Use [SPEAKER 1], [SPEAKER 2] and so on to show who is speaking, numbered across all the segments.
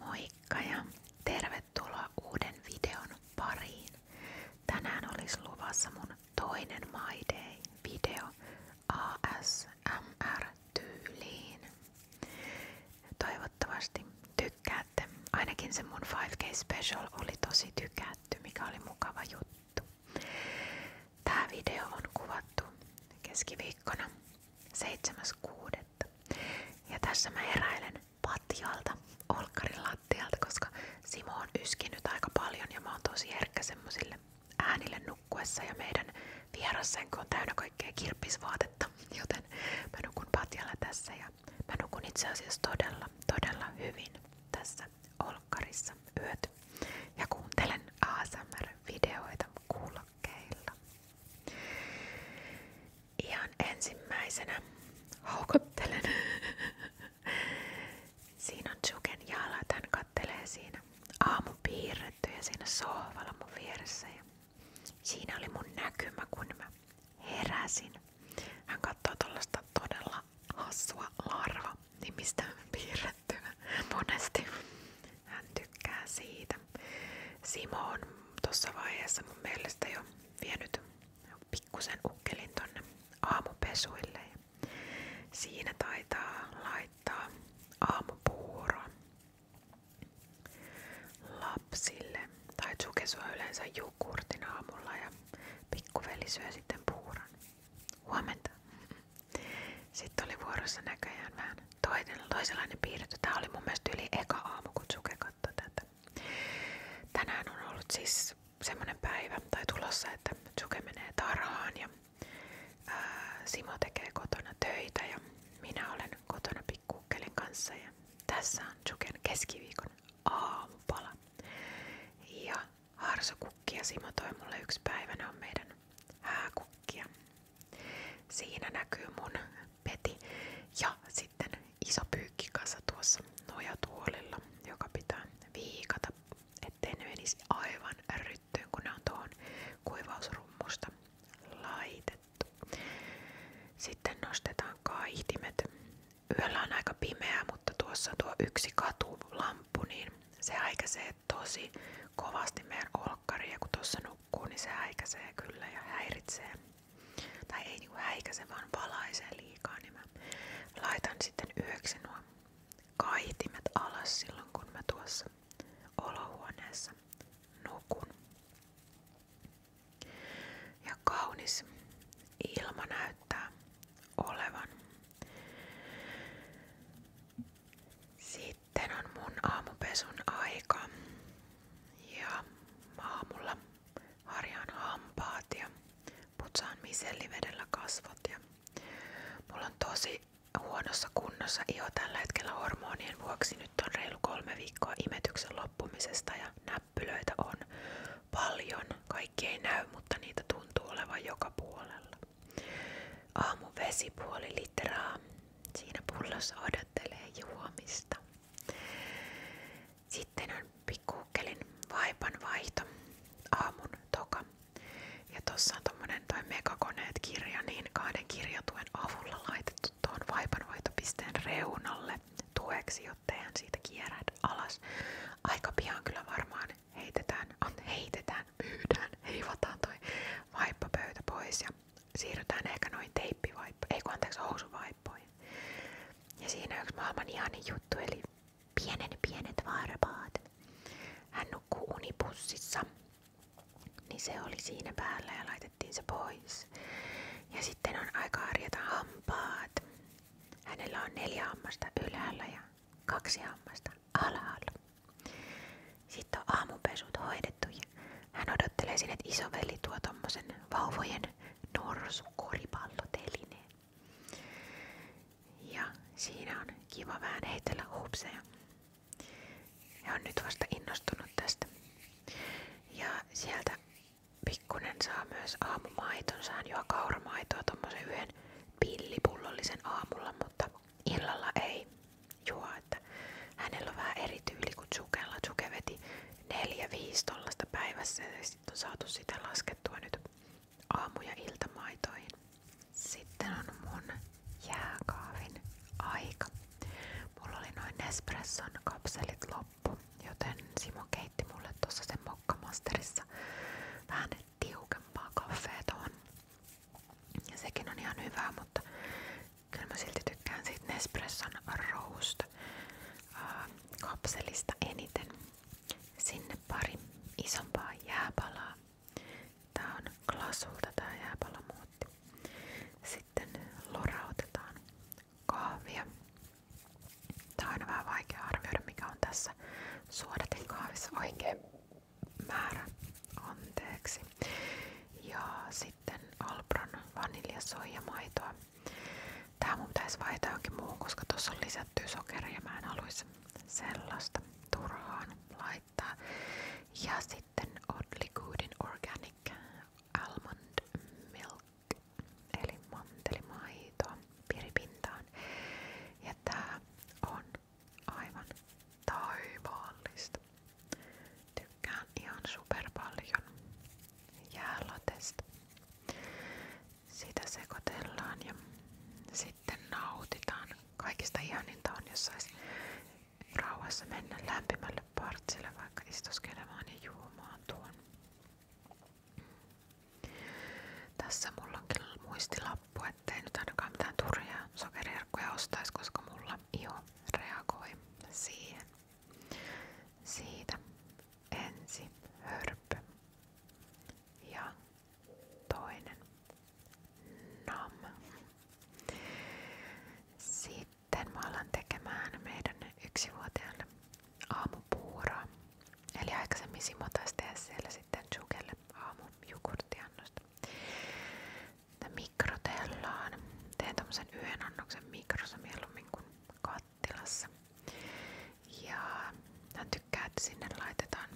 [SPEAKER 1] Moikka ja tervetuloa uuden videon pariin. Tänään olisi luvassa mun toinen My video ASMR-tyyliin. Toivottavasti tykkäätte. Ainakin se mun 5K Special oli tosi tykätty, mikä oli mukava juttu. Tää video on kuvattu keskiviikkona 7.6. Ja tässä mä heräilen patjalta, olkkarin lattialta, koska Simo on yskinyt aika paljon ja mä tosi herkkä semmosille äänille nukkuessa ja meidän vierassänkö on täynnä kaikkea joten mä nukun patjalla tässä ja mä nukun itse asiassa todella, todella hyvin tässä olkkarissa yöt ja kuuntelen ASMR-videoita kuulla Ihan ensimmäisenä houkuttelen. siinä on Juken jalat, hän kattelee siinä aamupiirrettyjä siinä sohvalla mun vieressä. siinä oli mun näkymä, kun mä heräsin. Hän katsoo todella hassua larva nimistä piirrettyä monesti. Hän tykkää siitä siitä. Simo on tuossa vaiheessa mun mielestä jo vienyt pikkusen ukkelin tonne aamupesuille. Siinä taitaa laittaa aamupuuro lapsille. Tai Tsuke syö yleensä jukurtin aamulla ja pikkuveli syö sitten puuran Huomenta. Sitten oli vuorossa näköjään vähän toinen, toisenlainen piirretty. Tämä oli mun mielestä yli eka aamu, kun Suke katsoi tätä. Tänään on ollut siis semmonen päivä tai tulossa, että Suke menee tarhaan ja ää, Simo tekee kotona töitä ja minä olen kotona pikkukkelin kanssa. Ja tässä on Suken keskiviikon aamupala. Ja harsokukkia Simo toi mulle yksi päivä, ne on meidän hääkukkia. Siinä näkyy mun peti ja sitten iso pyykkikasa tuossa nojatuolilla, joka pitää viikata, ettei ne menisi aivan ryttyyn, kun on tuohon kuivausrummusta laitettu. Sitten nostetaan kaihtimet. Yöllä on aika pimeää, mutta tuossa tuo yksi katulamppu, niin se häikäisee tosi kovasti meidän olkkaria, kun tuossa nukkuu, niin se häikäisee kyllä ja häiritsee. Tai ei niinku häikäise, vaan valaisee liikaa, niin mä laitan sitten yöksi nuo kaitimet alas silloin, kun mä tuossa olohuoneessa nukun. Ja kaunis ilma näyttää olevan. Sitten sitten on mun aamupesun aika ja aamulla harjaan hampaat ja putsaan misellivedellä kasvot ja mulla tosi huonossa kunnossa iho tällä hormonien vuoksi. Nyt on reilu kolme viikkoa imetyksen loppumisesta ja näppylöitä on paljon. Kaikki näy, mutta niitä tuntuu olevan joka puolella. Aamu vesipuoli litraa. Siinä pullossa odotan harjoittelee juomista. Sitten on pikkukkelin vaipan vaihto aamun toka. Ja tossa on tommonen toi megakoneet kirja, niin kahden kirjatuen avulla laitettu tuon vaihtopisteen reunalle tueksi, jotta eihän siitä kierrät alas. Aika pian kyllä varmaan heitetään, on ah, heitetään, myydään, heivataan toi vaippapöytä pois ja siirrytään ehkä noin teippivaippoihin, ei kun anteeksi housuvaippoihin. Ja siinä yksi maailman ihanin juttu, eli pienen pienet varpaat. Hän nukkuu unipussissa, niin se oli siinä päällä ja laitettiin se pois. Ja sitten on aika harjata hampaat. Hänellä on neljä hammasta ylhäällä ja kaksi hammasta alhaalla. Sitten on aamupesut hoidettu pettuja. Hän odottelee sinne, että isoveli tuo tommosen vauvojen norsukoripallotelineen. Ja siinä on kiva vähän heitellä hupseja. Ja on nyt vasta innostunut tästä. Ja sieltä pikkunen saa myös aamumaitonsa. Hän juo kauramaitoa tommosen yhden pillipullallisen aamulla, mutta illalla ei juo, että hänellä on vähän eri tyyli kuin Tsukella. Tsuke veti 4-5 tollasta päivässä ja sitten on saatu sitä laskettua nyt aamu- ja iltamaitoihin. Sitten on mun jääkaavin aika. Mulla oli noin Nespresson kapselit loppu, joten Simo keitti mulle tuossa sen mokkamasterissa vähän tiukempaa kaffea Ja sekin on ihan hyvää, mutta Kyllä mä silti tykkään siitä Nespresson Roast äh, kapselista eniten. Sinne pari isompaa jääpalaa. Tää on Glasulta tää jääpalamuotti. Sitten lorautetaan kahvia. Tää on vähän vaikea arvioida mikä on tässä suodatin kahvissa oikein määrä. Anteeksi. Ja sitten sitten Alpron vaniljasoijamaitoa. Tää mun pitäisi vaihtaa johonkin muuhun, koska tuossa on lisätty sokeria. Mä en haluaisi sellaista turhaan laittaa. Ja sitten Oddly Goodin Organic Almond Milk eli mantelimaitoa piripintaan. Ja tää on aivan taivaallista. Tykkään ihan super paljon jäälatesta. Sitä sekoitellaan ja sitten nautitaan. Kaikista ihaninta on, jos sais rauhassa mennä lämpimälle partsille vaikka istuskelemaan ja juomaan tuon. Tässä mulla onkin muistilappu, ettei nyt ainakaan mitään turhia sokeriherkkuja ostaisi, koska mulla iho reagoi siihen. Siitä ensi hörppö ja toinen nam. Sitten mä alan tekemään meidän yksivuotiaalle aamupuuraa. Eli aikaisemmin Simo taisi tehdä siellä sitten jukelle aamu jogurttiannosta mikrotellaan. Teen tommosen yhden annoksen mikrossa mieluummin kuin kattilassa. Ja hän tykkää, että sinne laitetaan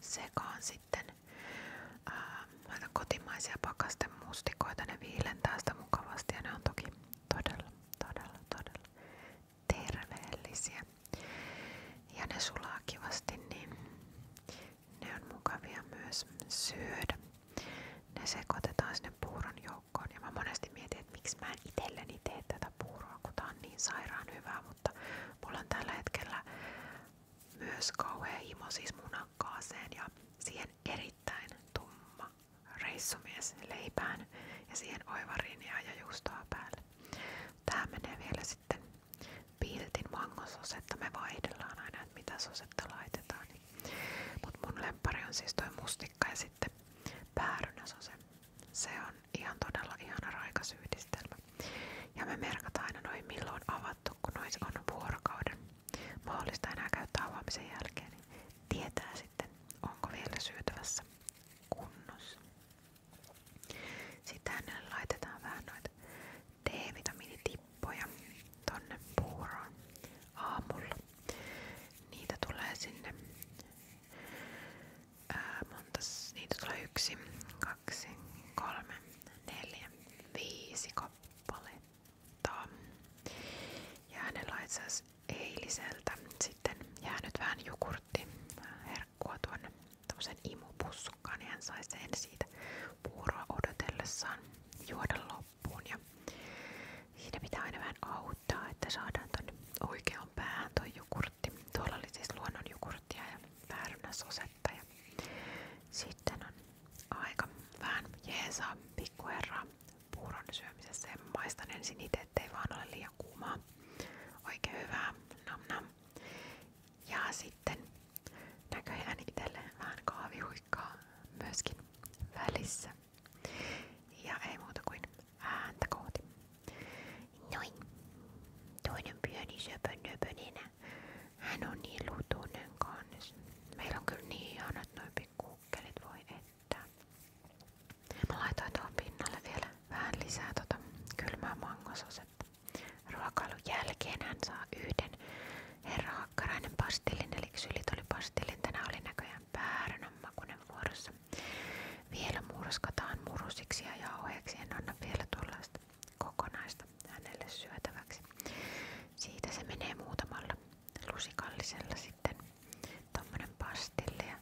[SPEAKER 1] sekaan sitten ää, laitan kotimaisia pakasten mustikoita. Ne viilentää sitä mukavasti ja ne on toki todella, todella, todella terveellisiä. Ja ne sulaa kivasti, niin ne on mukavia myös syödä. Ne sekoitetaan sinne puuron joukkoon. Ja mä monesti mietin, miksi mä en itselleni tee puuroa, kun tää niin sairaan hyvää, mutta mulla on
[SPEAKER 2] myös kauhea
[SPEAKER 1] himo siis ja siihen erittäin tumma reissumies leipään ja siihen oivariinia ja juustoa päälle. Tää menee vielä sitten piltin mangososetta. Me vaihdellaan aina, että mitä sosetta laitetaan. Mut mun lempari on siis toi mustikka ja sitten päärynä se. Se on ihan todella ihana raikas yhdistelmä. Ja me merkataan aina noin milloin avattu, kun nois on vuorokauden. Mahdollista enää käyttää avaamisen jälkeen, niin tietää sitten, onko vielä syötävässä kunnossa. Sitten hänelle laitetaan vähän noita D-vitamiinitippoja tonne puuroon aamulla. Niitä tulee sinne monta, niitä tulee yksi, kaksi, kolme, neljä, viisi kappaletta. Ja hänellä itse eiliseltä sitten jäänyt vähän jukurtti herkkua tuonne tämmöisen imupussukkaan, niin hän sai sen siitä puuroa odotellessaan juoda loppuun loppuun ja siinä pitää aina vähän auttaa, että saadaan tonne oikeaan päähän toi jukurtti. Tuolla oli siis luonnon jukurttia ja päärynäsosetta ja sitten on aika vähän jeesaa pikkuherraa puuron syömisessä ja maistan ensin itse, ettei vaan ole liian kuumaa. Oikein hyvää, nam nam. Ja sitten näköjään itselleen vähän kahvihuikkaa myöskin välissä. Ja ei muuta kuin ääntä kohti. Noin. Toinen pieni söpönöpönenä. Hän on niin lutunen kanssa. Meillä on kyllä niin ihanat noin pikkukkelit voi että. Mä laitoin tuohon pinnalle vielä vähän lisää tota kylmää mangososetta. Ruokailun jälkeen hän saa yhden Herra Hakkarainen pastellin, eli sylit oli oli näköjään pääränän vuorossa. Vielä murskataan murusiksi ja jauheeksi. anna vielä tuollaista kokonaista hänelle syötäväksi. Siitä se menee muutamalla lusikallisella sitten tommonen pastille ja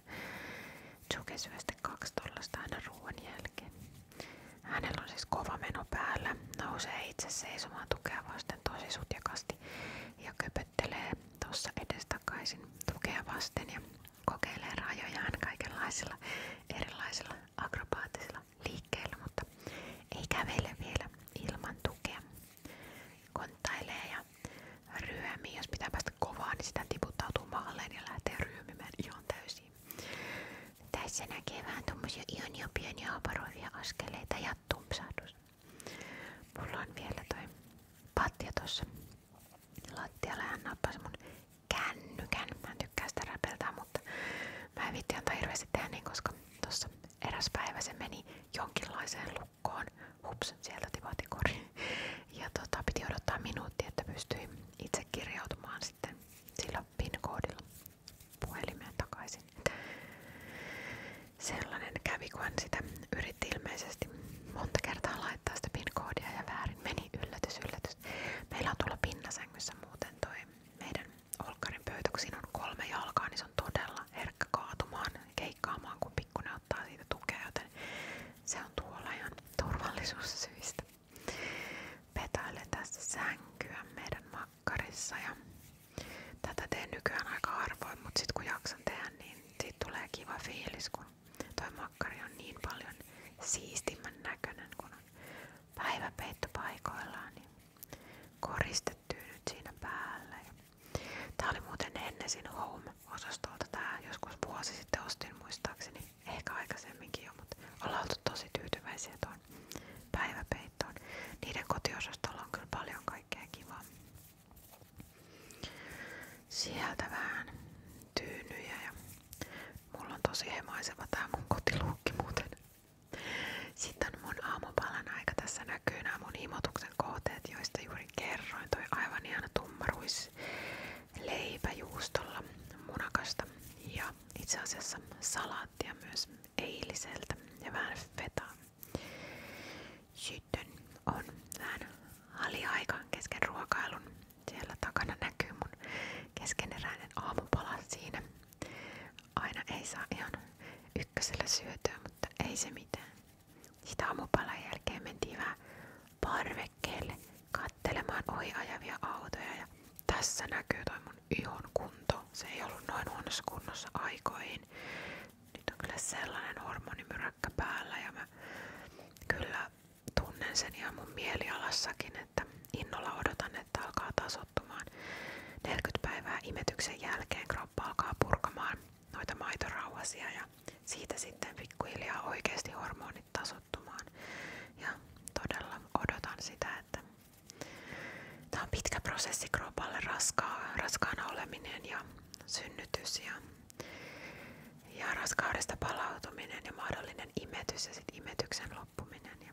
[SPEAKER 1] Tsuke syö aina ruoan jälkeen. Hänellä on siis kova meno päällä, nousee itse seisomaan tukea vasten tosi sutjakasti ja köpöttelee tuossa edestakaisin tukea vasten ja kokeilee rajojaan kaikenlaisilla erilaisilla akrobaattisilla liikkeillä, mutta ei kävele vielä ilman tukea. Konttailee ja ryömii. Jos pitää päästä kovaa, niin sitä ihan täysin. Tässä näkee vähän tommosia ihania pieniä haparoivia askeleita ja tumpsahdus. Mulla on vielä toi patja tossa lattialla. Hän nappasi mun kännykän. Mä en tykkää sitä räpeltää, mutta mä en viitti antaa hirveästi tehdä niin, koska tossa eräs päivä se meni jonkinlaiseen lukkoon. Hups, sieltä tipahti kori. Ja tota, piti odottaa minuutti, että pystyi itse kirjautumaan sitten sillä PIN-koodilla puhelimeen takaisin sellainen kävi, kun hän sitä yritti ilmeisesti monta kertaa laittaa sitä PIN-koodia ja väärin meni yllätys, yllätys. Meillä on tuolla pinnasängyssä muuten toi meidän olkkarin pöytä, kun siinä on kolme jalkaa, niin se on todella herkkä kaatumaan, keikkaamaan, kun pikkuinen ottaa siitä tukea, joten se on tuolla ihan turvallisuussyistä. Petaille tässä sänkyä meidän Makkarissa ja tätä teen nykyään aika harvoin, mutta sitten kun jaksan tehdä, niin siitä tulee kiva fiilis, kun toi makkari on niin paljon siistimmän näköinen, kun on päiväpeitto paikoillaan, niin koristettyy nyt siinä päällä. Tää oli muuten Hennesin Home-osastolta tämä, joskus vuosi sitten ostin muistaakseni, ehkä aikaisemminkin jo, mutta ollaan oltu tosi tyytyväisiä toi peittoon, päiväpeittoon. Niiden kotiosastolla on kyllä paljon kaikkea kivaa. Sieltä vähän tyynyjä ja mulla on tosi hemaiseva tää mun kotiluukki muuten. Sitten mun aamupalan aika tässä näkyy mun himotuksen kohteet, joista juuri kerroin. Toi aivan ihana tummaruis leipäjuustolla munakasta ja itse asiassa salaattia myös eiliseltä ja vähän fetaa. Sitten on vähän haliaika kesken ruokailun. Siellä takana näkyy mun keskeneräinen aamupala siinä. Aina ei saa ihan ykkösellä mutta ei se Sitä aamupalan jälkeen mentiin kattelemaan ohi ajavia autoja ja tässä näkyy toi mun ihon kunto, se ei ollut noin huonossa kunnossa aikoihin. Nyt on kyllä sellainen hormonimyräkkä päällä ja mä kyllä tunnen sen ihan mun mielialassakin, että innolla odotan, että alkaa tasottumaan. 40 päivää imetyksen jälkeen kroppa alkaa purkamaan noita maitorauhasia ja siitä sitten pikkuhiljaa oikeasti hormonit tasottumaan. Ja todella odotan sitä, että Tämä on pitkä prosessi kropalle, raskaa, raskaana oleminen ja synnytys ja, ja raskaudesta palautuminen ja mahdollinen imetys ja sit imetyksen loppuminen ja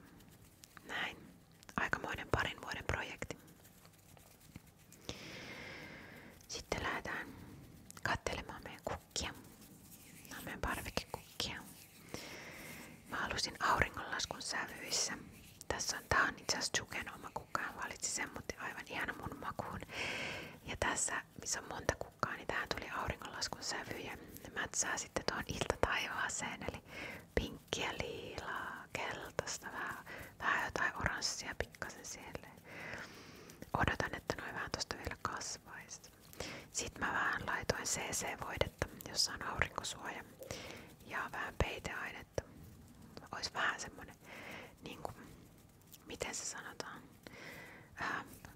[SPEAKER 1] näin. Aikamoinen parin vuoden projekti. Sitten lähdetään katselemaan meidän kukkia. Nämä on meidän parvekekukkia. Mä halusin auringonlaskun sävyissä. Tässä on, tää on itse asiassa kukaan valitsi sen, mutta aivan ihana mun makuun. Ja tässä, missä on monta kukkaa, niin tähän tuli auringonlaskun sävy ja mätsää sitten tuohon iltataivaaseen, eli pinkkiä, liilaa, keltaista, vähän, vähän jotain oranssia pikkasen siellä. Odotan, että noin vähän tosta vielä kasvaisi. Sitten mä vähän laitoin CC-voidetta, jossa on aurinkosuoja ja vähän peiteainetta että olisi vähän semmoinen, niin kuin, miten se sanotaan, uh,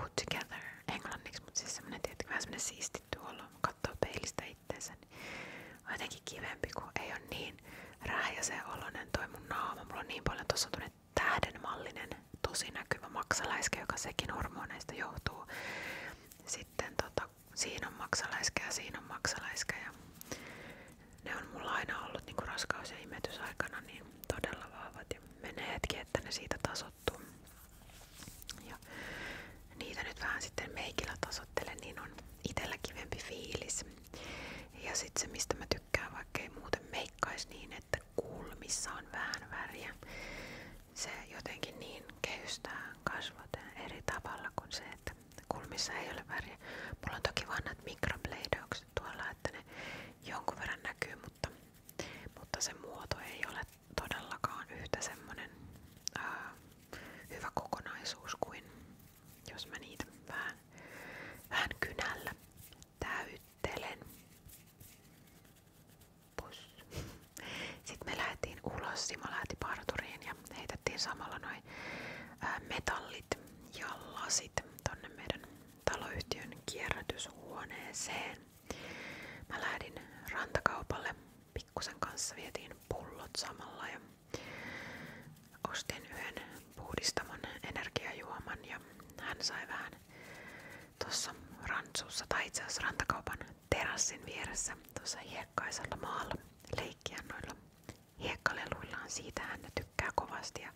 [SPEAKER 1] put together englanniksi, mutta siis semmoinen tietenkin vähän semmoinen tuolla olo, katsoo peilistä itteensä, niin on jotenkin kivempi, kun ei ole niin rähjäsen oloinen toi mun naama. Mulla on niin paljon, tuossa on tähdenmallinen, tosi näkyvä maksaläiske, joka sekin hormoneista johtuu. Sitten tota, siinä on maksaläiskä ja siinä on maksaläiskä ja ne on mulla aina ollut niinku raskaus- ja imetysaikana niin todella vahvat ja menee hetki, että ne siitä tasottuu. Ja niitä nyt vähän sitten meikillä tasottele, niin on itellä kivempi fiilis. Ja sitten se mistä mä tykkään, vaikkei muuten meikkais niin, että kulmissa on vähän väriä. Se jotenkin niin kehystää kasvot eri tavalla kuin se, että Kulmissa ei ole väriä. Mulla on toki vanhat mikrobleidaukset tuolla, että ne jonkun verran näkyy, mutta, mutta se muoto ei ole todellakaan yhtä semmonen ää, hyvä kokonaisuus kuin jos mä niitä vähän, vähän kynällä täyttelen. Pus. Sitten me lähdettiin ulos, Simo lähti parturiin ja heitettiin samalla noin metallit ja lasit tonne meidän taloyhtiön kierrätyshuoneeseen. Mä lähdin rantakaupalle, pikkusen kanssa vietiin pullot samalla ja ostin yhden puhdistamon energiajuoman ja hän sai vähän tuossa rantsussa tai itse asiassa rantakaupan terassin vieressä tuossa hiekkaisella maalla leikkiä noilla hiekkaleluillaan. Siitä hän tykkää kovasti ja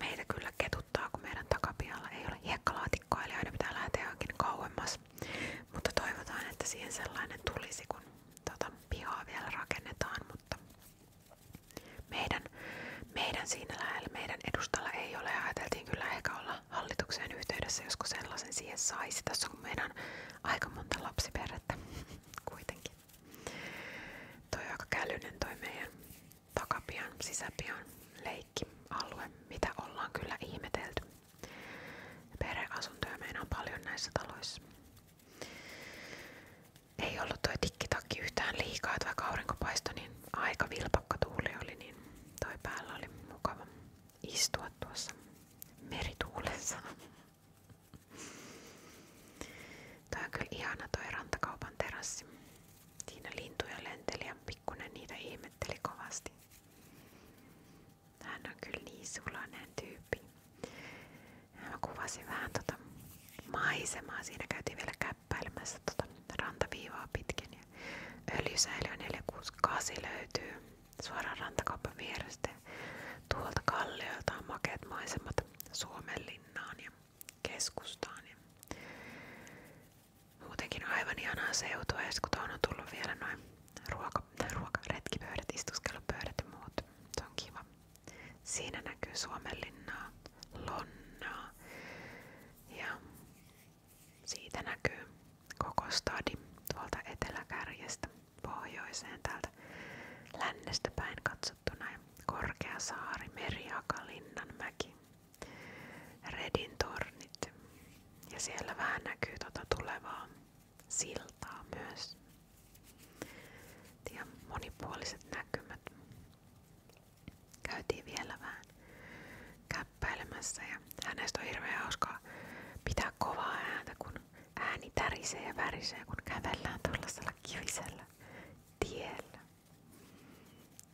[SPEAKER 1] meitä kyllä ketuttaa, kun meidän takapihalla ei ole hiekkalaatikkoa, eli aina pitää lähteä johonkin kauemmas. Mutta toivotaan, että siihen sellainen tulisi, kun tota, pihaa vielä rakennetaan, mutta meidän, meidän siinä lähellä, meidän edustalla ei ole ja ajateltiin kyllä ehkä olla hallitukseen yhteydessä, joskus sellaisen siihen saisi. Tässä on meidän aika monta lapsiperhettä kuitenkin. Toi on aika kälyinen toi meidän takapian, sisäpian leikkialue, mitä ollaan kyllä ihmetelty. Perheasuntoja meillä on paljon näissä taloissa. Ei ollut toi tikkitakki yhtään liikaa, että vaikka aurinko paistoi, niin aika vilpakka tuuli oli, niin toi päällä oli mukava istua tuossa merituulessa. Toi kyllä ihana toi rantakaupan terassi. Siinä lintuja niitä ihmetteli kovasti. Hän kyllä niin sulainen tyyppi. Mä kuvasin vähän tota maisemaa. Siinä käytiin vielä käppäilemässä tota rantaviivaa pitkin. Ja öljysäiliö 468 löytyy suoraan rantakaupan Tuolta kalliolta on makeat maisemat Suomen aivan ihanaa seutua, ja on tullut vielä noin ruoka, ruoka retkipöydät, istuskelupöydät ja muut. Se on Siinä näkyy Suomenlinnaa, Lonnaa ja siitä näkyy koko stadi tuolta eteläkärjestä pohjoiseen täältä lännestä päin katsottuna ja saari, Meriakalinnan mäki, Redin tornit ja siellä vähän näkyy tuota tulevaa siltaa myös. Ja monipuoliset näkymät. Käytiin vielä vähän käppäilemässä ja hänestä on hirveän hauskaa pitää kovaa ääntä, kun Ääni tärisee ja värisee, kun kävellään tuollaisella kivisellä tiellä.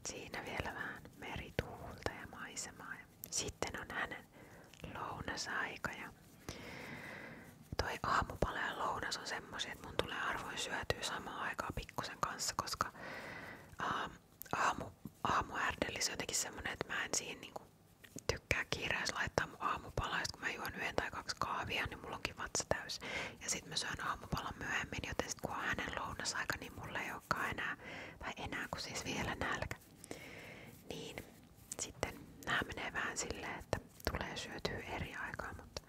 [SPEAKER 1] Siinä vielä vähän merituulta ja maisemaa. Ja sitten on hänen lounasaika. Ja toi aamupala ja lounas on semmoisia, että mun tulee arvoin syötyä samaan aikaan pikkusen kanssa, koska aamu, aamu on jotenkin semmonen, että mä en siihen niinku tykkää kiireessä laittaa mun aamupalaa, kun mä juon yhden tai kaksi kahvia, niin mulla onkin vatsa täys. Ja sitten mä syön aamupalan myöhemmin, joten sit kun on hänen lounasaika, niin mulla ei olekaan enää, tai enää kun siis vielä nälkä. Niin sitten nämä menee vähän silleen, että tulee syötyä eri aikaa, mutta,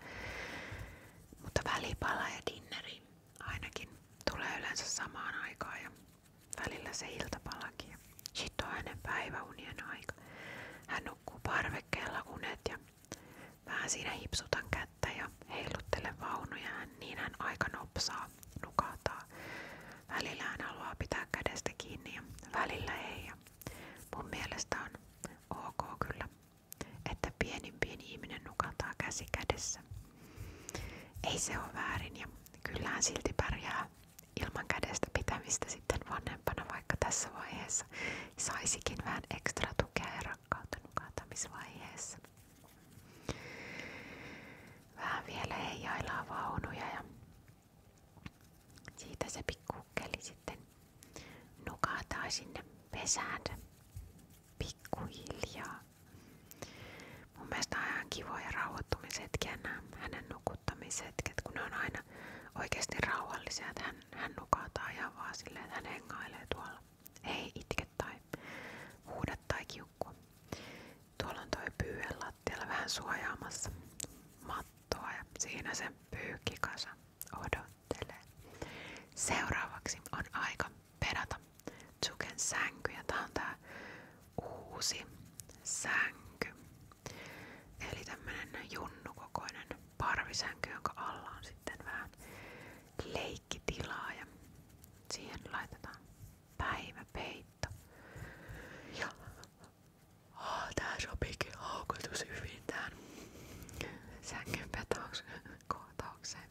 [SPEAKER 1] mutta välipala ja dinneri ainakin tulee yleensä samaan aikaan ja Välillä se iltapalakin. Sit on hänen päiväunien aika. Hän nukkuu parvekkeella unet ja vähän siinä hipsutan kättä ja heiluttelen vaunuja. Niin hän aika nopsaa, nukahtaa. Välillä hän haluaa pitää kädestä kiinni ja välillä ei. Ja mun mielestä on ok kyllä, että pienin pieni ihminen nukataa käsi kädessä. Ei se ole väärin ja kyllähän silti pärjää ilman kädestä pitämistä sitten vanhempana, vaikka tässä vaiheessa saisikin vähän ekstra tukea ja rakkautta nukantamisvaiheessa. Vähän vielä heijaillaan vaunuja ja siitä se pikkukkeli sitten nukataan sinne pesään pikkuhiljaa. Mun mielestä on ihan kivoja rauhoittumishetkiä nämä hänen nukuttamisetket, kun ne on aina oikeasti rauhallisia, että hän, hän nukahtaa ihan vaan silleen, että hän hengailee tuolla. Ei itke tai huuda tai kiukkua. Tuolla on toi pyyhen lattialla vähän suojaamassa mattoa ja siinä se pyykkikasa odottelee. Seuraavaksi on aika perata, Tsuken sänky ja on tää uusi sänky. Eli tämmönen junnukokoinen parvisänky, jonka alla on sitten vähän leikkitilaa ja siihen laitetaan päiväpeitto. Ja oh, tää sopikin haukotus hyvin tähän sängyn kohtaukseen.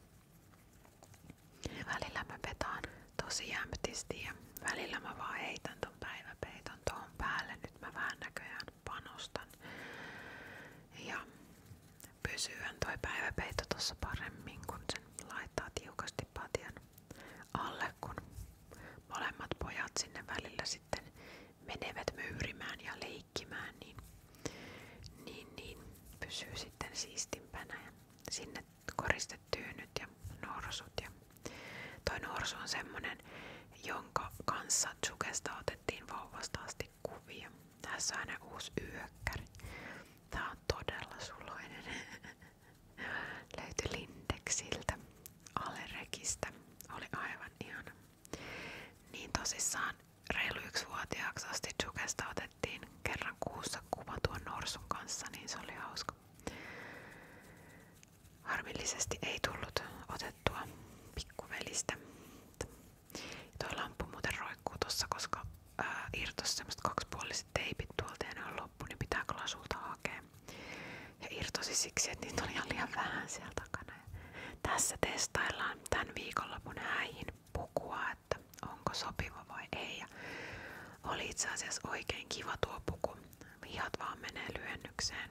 [SPEAKER 1] Välillä mä petaan tosi jämptisti ja välillä mä vaan heitän ton päiväpeiton tuohon päälle. Nyt mä vähän näköjään panostan. Ja pysyhän toi päiväpeito tuossa paremmin, kun sen laittaa tiukasti patjan alle, kun molemmat pojat sinne välillä sitten menevät myyrimään ja leikkimään, niin, niin, niin pysyy sitten siistimpänä. Ja sinne koriste hirveästi tyynyt ja norsut. Ja toi norsu on semmonen, jonka kanssa Tsukesta otettiin vauvasta asti kuvia. Tässä on aina uusi yökkäri. Tää on todella suloinen. Löytyi Lindeksiltä, Alerekistä. Oli aivan ihana. Niin tosissaan reilu yksivuotiaaksi asti Tsukesta otettiin kerran kuussa kuva tuon norsun kanssa, niin se oli hauska. Harmillisesti ei tullut otettua pikkuvelistä. Tuo lampu muuten roikkuu tossa, koska ää, irtos semmoset kaksipuoliset teipit tuolta ja ne on loppu, niin pitää klasulta hakea. Ja irtosi siksi, että niitä oli ihan liian vähän siellä takana. Ja tässä testaillaan tän viikonlopun häihin pukua, että onko sopiva vai ei. Ja oli itse asiassa oikein kiva tuo puku. Vihat vaan menee lyhennykseen.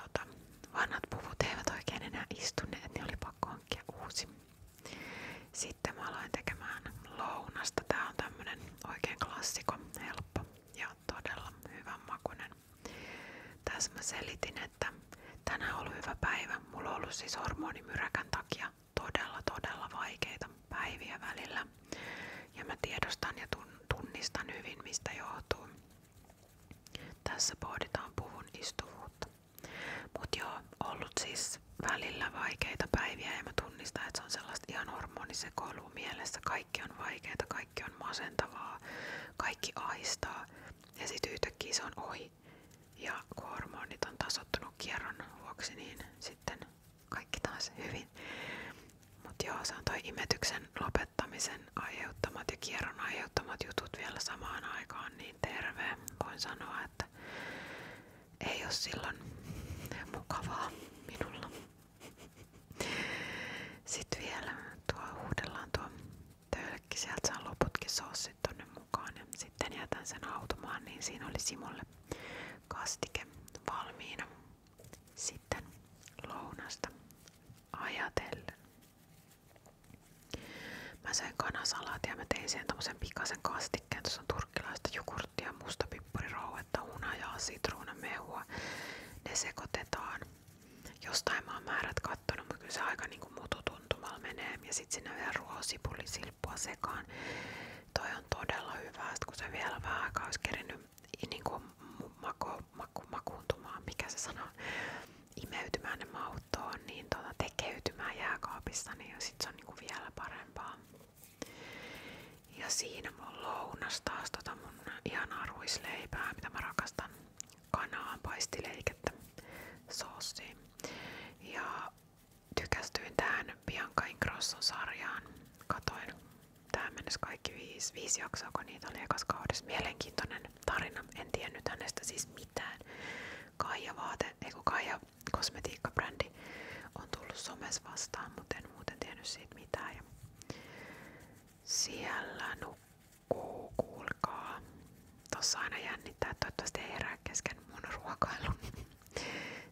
[SPEAKER 1] Tota, vanhat puvut eivät oikein enää istuneet, niin oli pakko hankkia uusi. Sitten mä aloin tekemään lounasta. Tää on tämmönen oikein klassikko, helppo ja todella hyvän makunen. Tässä mä selitin, että tänään on ollut hyvä päivä. Mulla on ollut siis hormonimyräkän takia todella todella vaikeita päiviä välillä. Ja mä tiedostan ja tunnistan hyvin, mistä johtuu. Tässä pohditaan puvun istuvuutta. Mut joo, ollut siis välillä vaikeita päiviä ja mä tunnistan, että se on sellaista ihan hormonisekoilua mielessä. Kaikki on vaikeita, kaikki on masentavaa, kaikki aistaa ja sit yhtäkkiä se on ohi. Ja kun hormonit on tasottunut kierron vuoksi, niin sitten kaikki taas hyvin. Mutta joo, se on toi imetyksen lopettamisen aiheuttamat ja kierron aiheuttamat jutut vielä samaan aikaan niin terve. Voin sanoa, että ei ole silloin mukavaa minulla. Sitten vielä tuo uudellaan tuo töölkki, sieltä saa loputkin soossit tonne mukaan ja sitten jätän sen automaan, niin siinä oli Simolle kastike valmiina. Sitten lounasta ajatellen. Mä söin kanasalaatia ja mä tein siihen pikaisen kastikkeen. Tuossa on turkkilaista jogurttia, mustapippurirauhetta, hunajaa, sitruunamehua. Ne sekoitetaan. Jostain mä määrät kattonut, mutta kyllä aika niinku mututuntumalla Ja sit sinne vielä ruoasipullisilppua sekaan. Toi on todella hyvä, sit kun se vielä vähän aikaa olisi niin kuin mako, maku, makuuntumaan, mikä se sanoo, imeytymään ne mautoon, niin tuota, tekeytymään jääkaapissa, niin sit se on niin kuin vielä parempaa. Ja siinä mun lounas taas tota mun ihanaa ruisleipää, mitä mä rakastan. Kanaan paistileikettä soosiin. Ja tykästyin tähän Bianca Ingrosson sarjaan. Katoin Tähän mennessä kaikki viisi, viisi jaksoa, kun niitä oli ekas kaudessa. Mielenkiintoinen tarina. En tiennyt hänestä siis mitään. Kaija vaate, ei kun Kaija kosmetiikkabrändi on tullut somes vastaan, mutta en muuten tiennyt siitä mitään. Ja siellä nukkuu, kuulkaa. Tossa aina jännittää, että toivottavasti ei herää kesken mun ruokailun.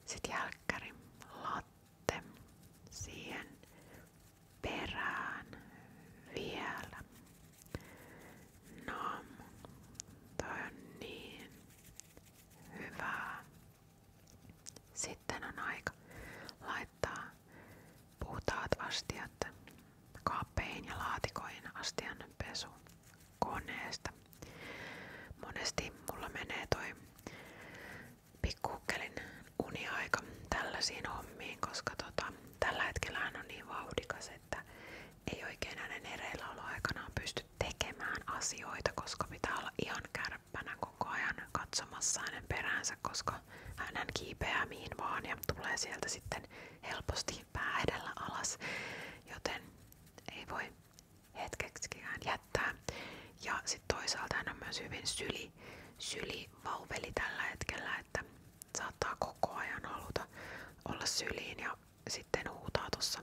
[SPEAKER 1] Sitten jälkkäri, lat sitten siihen perään vielä. No, toi on niin hyvää. Sitten on aika laittaa puhtaat astiat kaappeihin ja laatikoihin astian pesu koneesta. Monesti mulla menee toi pikkukkelin uniaika tällaisiin hommiin, koska tota, tällä hetkellä hän on niin vauhdikas, että ei oikein hänen ereilläoloaikanaan pysty tekemään asioita, koska pitää olla ihan kärppänä koko ajan katsomassa hänen peräänsä, koska hän kiipeää mihin vaan ja tulee sieltä sitten helposti pää alas, joten ei voi hetkeksikään jättää lähettää. Ja sitten toisaalta hän on myös hyvin syli, syli vauveli tällä hetkellä, että saattaa koko ajan haluta olla syliin ja sitten huutaa tuossa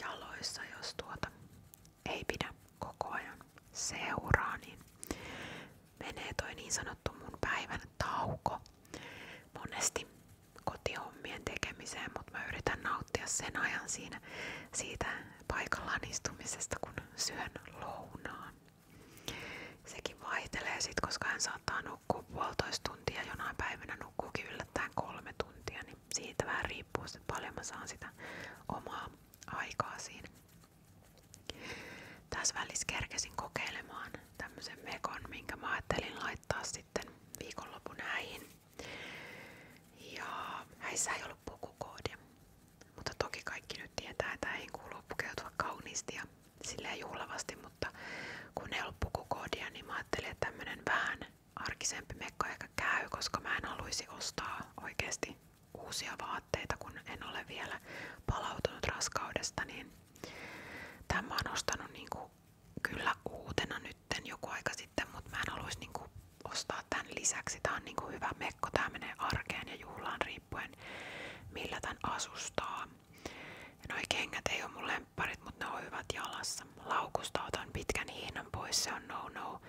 [SPEAKER 1] jaloissa, jos tuota ei pidä koko ajan seuraa, niin menee toi niin sanottu mun päivän tauko monesti kotihommien tekemiseen, mutta mä yritän nauttia sen ajan siinä siitä, paikallaan istumisesta, kun syön lounaan. Sekin vaihtelee sit, koska hän saattaa nukkua puolitoista tuntia, jonain päivänä nukkuukin yllättäen kolme tuntia, niin siitä vähän riippuu, että paljon mä saan sitä omaa aikaa siinä. Tässä välissä kerkesin kokeilemaan tämmöisen mekon, minkä mä ajattelin laittaa sitten viikonlopun häihin. Ja häissä ei ollut pukukoodi. Mutta toki kaikki nyt tietää, että ei kuuluu kauniisti ja silleen juhlavasti, mutta kun ei niin mä ajattelin, vähän arkisempi mekko ehkä käy, koska mä en haluaisi ostaa oikeasti uusia vaatteita, kun en ole vielä palautunut raskaudesta, niin tämän mä niinku kyllä uutena nytten joku aika sitten, mutta mä en haluaisi niinku ostaa tämän lisäksi. Tää on kuin niinku hyvä mekko, tää menee arkeen ja juhlaan riippuen millä tän asustaa. Ja noi kengät ei oo mun lempparit, mut ne on hyvät jalassa. Laukusta otan pitkän hiinan pois, se on no no.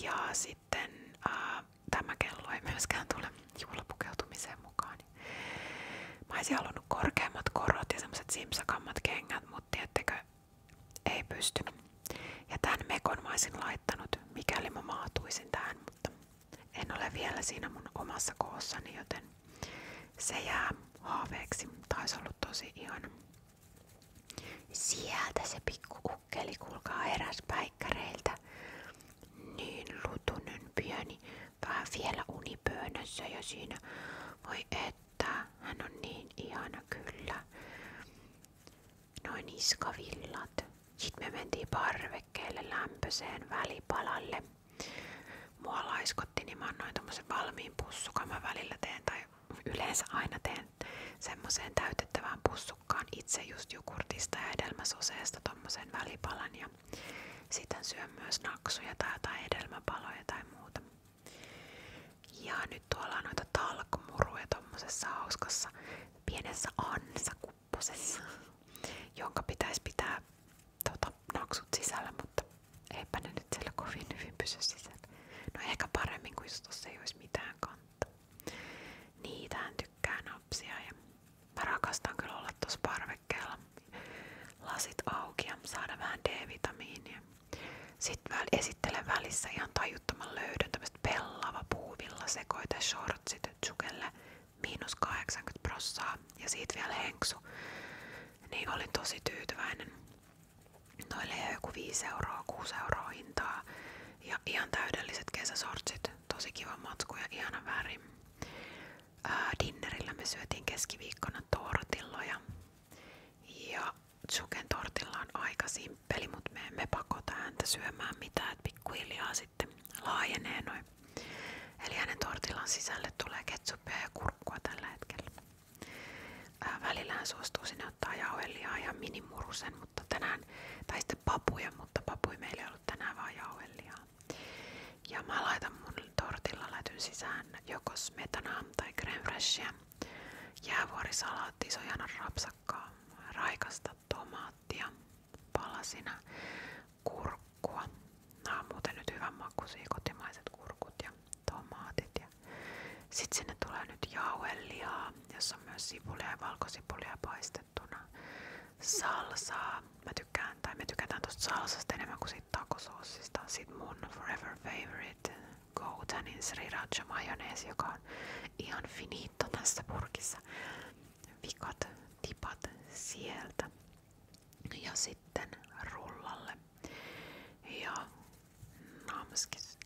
[SPEAKER 1] Ja sitten ää, tämä kello ei myöskään tule juhlapukeutumiseen mukaan. Mä oisin halunnut korkeammat korot ja semmoset simpsakammat kengät, mut tiettekö ei pysty. Ja tämän mekon mä olisin laittanut, mikäli mä maatuisin tähän, mutta en ole vielä siinä mun omassa koossani, joten se jää haaveeksi. Taisi ollut tosi ihana. Sieltä se pikku ukkeli, kuulkaa eräs päikkäreiltä. Niin lutunen pieni, vähän vielä unipöönössä ja siinä. Voi että, hän on niin ihana kyllä noin niskavillat. Sitten me mentiin parvekkeelle lämpöseen välipalalle. Mua laiskotti, niin mä annoin tommosen valmiin pussukan. Mä välillä teen, tai yleensä aina teen semmoiseen täytettävään pussukkaan itse just jukurtista ja edelmäsoseesta tommosen välipalan. Ja sitten syön myös naksuja tai jotain edelmäpaloja tai muuta. Ja nyt tuolla on noita talkmuruja tommosessa hauskassa pienessä ansakupposessa, jonka pitäisi pitää tota, naksut sisällä, mutta eipä ne nyt siellä No ehkä paremmin kuin jos tossa ei olisi mitään kantaa. Niitähän tykkää mä parvekkeella lasit auki ja saada vähän D-vitamiinia. Sitten esittelen välissä ihan tajuttoman löydön, tämmöiset pellava puuvilla sekoite shortsit Tsukelle miinus 80 prossaa ja siitä vielä henksu. Niin olin tosi tyytyväinen. Noille ei joku 5 euroa, 6 euroa hintaa. Ja ihan täydelliset kesäsortsit. Tosi kiva matsku ja ihana väri. Ää, dinnerillä me syötiin keskiviikkona tortilloja. Ja Tsuken tortilla on aika simppeli, mutta me emme pakota häntä syömään mitään, että pikkuhiljaa sitten laajenee noin. Eli hänen tortillan sisälle tulee ketsuppia ja kurkkua tällä hetkellä. Ää, äh, välillä hän suostuu sinne ottaa jauhelihaa ja minimurusen, mutta tänään, tai sitten papuja, mutta papui meillä ei ollut tänään vaan jauhelihaa. Ja mä laitan mun tortilla lätyn sisään joko smetanaa tai creme freshia, jäävuorisalaatti, sojana rapsakkaa, raikasta tomaattia palasina, kurkkua. Nämä on muuten nyt hyvän makuisia kotimaiset kurkut ja tomaatit. Ja sitten sinne tulee nyt jauhelihaa, jossa on myös sipulia ja valkosipulia paistettuna. Salsaa. Mä tykkään, tai me tykätään tosta salsasta enemmän kuin siitä takosoosista. Sitten mun forever favorite Goutanin sriracha majoneesi, joka on ihan finito tässä purkissa vikat tipat sieltä ja sitten rullalle. Ja namskis.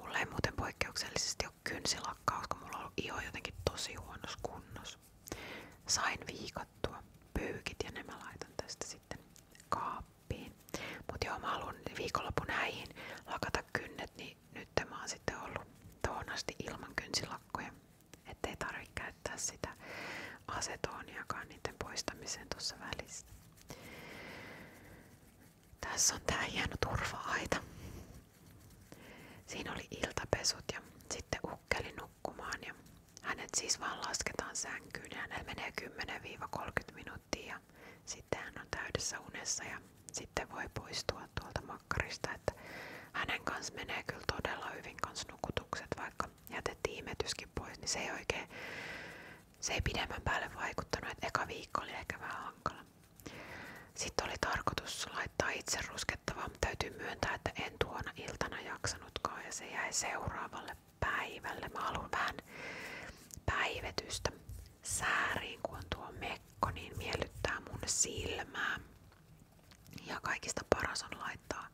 [SPEAKER 1] Mulla ei muuten poikkeuksellisesti ole kynsilakkaus, mulla on iho jotenkin tosi huonossa kunnossa. Sain viikattua pyykit ja ne laitan tästä sitten kaappiin. Mut joo, mä haluan viikonlopun häihin lakata kynnet, niin nyt tämä on sitten ollut tuohon ilman kynsilakkoja, ettei tarvitse käyttää sitä asetoniakaan niiden poistamiseen tuossa Tässä on tää hieno turva Siinä oli iltapesut ja sitten ukkeli nukkumaan ja hänet siis vaan lasketaan sänkyyn ja hänellä menee 10 minuuttia sitten hän on täydessä unessa ja sitten voi poistua tuolta makkarista. Että hänen kanssa menee kyllä todella hyvin kans nukutukset, vaikka jätettiin imetyskin pois, niin se ei oikein, se ei pidemmän päälle vaikuttanut, että eka viikko oli ehkä vähän hankala. Sitten oli tarkoitus laittaa itse ruskettavaa, mutta täytyy myöntää, että en tuona iltana jaksanutkaan ja se jäi seuraavalle päivälle. Mä haluan vähän päivetystä sääriin, kun on tuo mekko kun niin miellyttää mun silmää. Ja kaikista paras on laittaa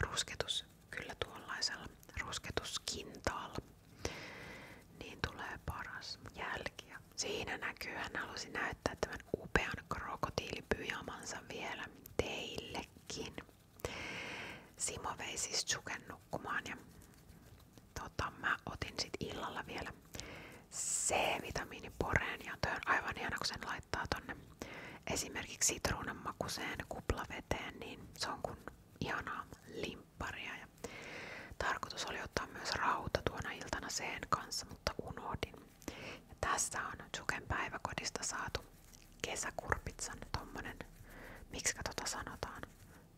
[SPEAKER 1] rusketus kyllä tuollaisella rusketuskintaalla. Niin tulee paras jälki. Siinä näkyy, hän halusi näyttää tämän upean krokotiilipyjamansa vielä teillekin. Simo vei siis Tsuken nukkumaan ja tota, mä otin sit illalla vielä C-vitamiiniporeen ja on aivan ihana, kun sen laittaa tonne esimerkiksi sitruunan makuseen kuplaveteen, niin se on kun ihanaa limpparia. Ja tarkoitus oli ottaa myös rauta tuona iltana sen kanssa, mutta unohdin. Ja tässä on Juken päiväkodista saatu kesäkurpitsan tommonen, miksi tota sanotaan,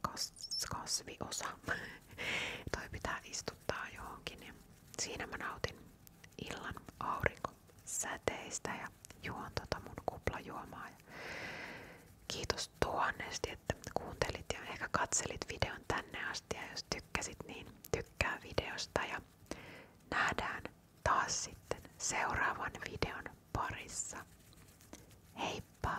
[SPEAKER 1] Kas, kasviosa. Toi pitää istua istuttaa johonkin. Ja niin siinä mä nautin illan säteistä ja juon tota mun kuplajuomaa. Ja kiitos tuhannesti, että kuuntelit ja ehkä katselit videon tänne asti. Ja jos tykkäsit, niin tykkää videosta. Ja nähdään taas sitten seuraavan videon parissa. Heippa!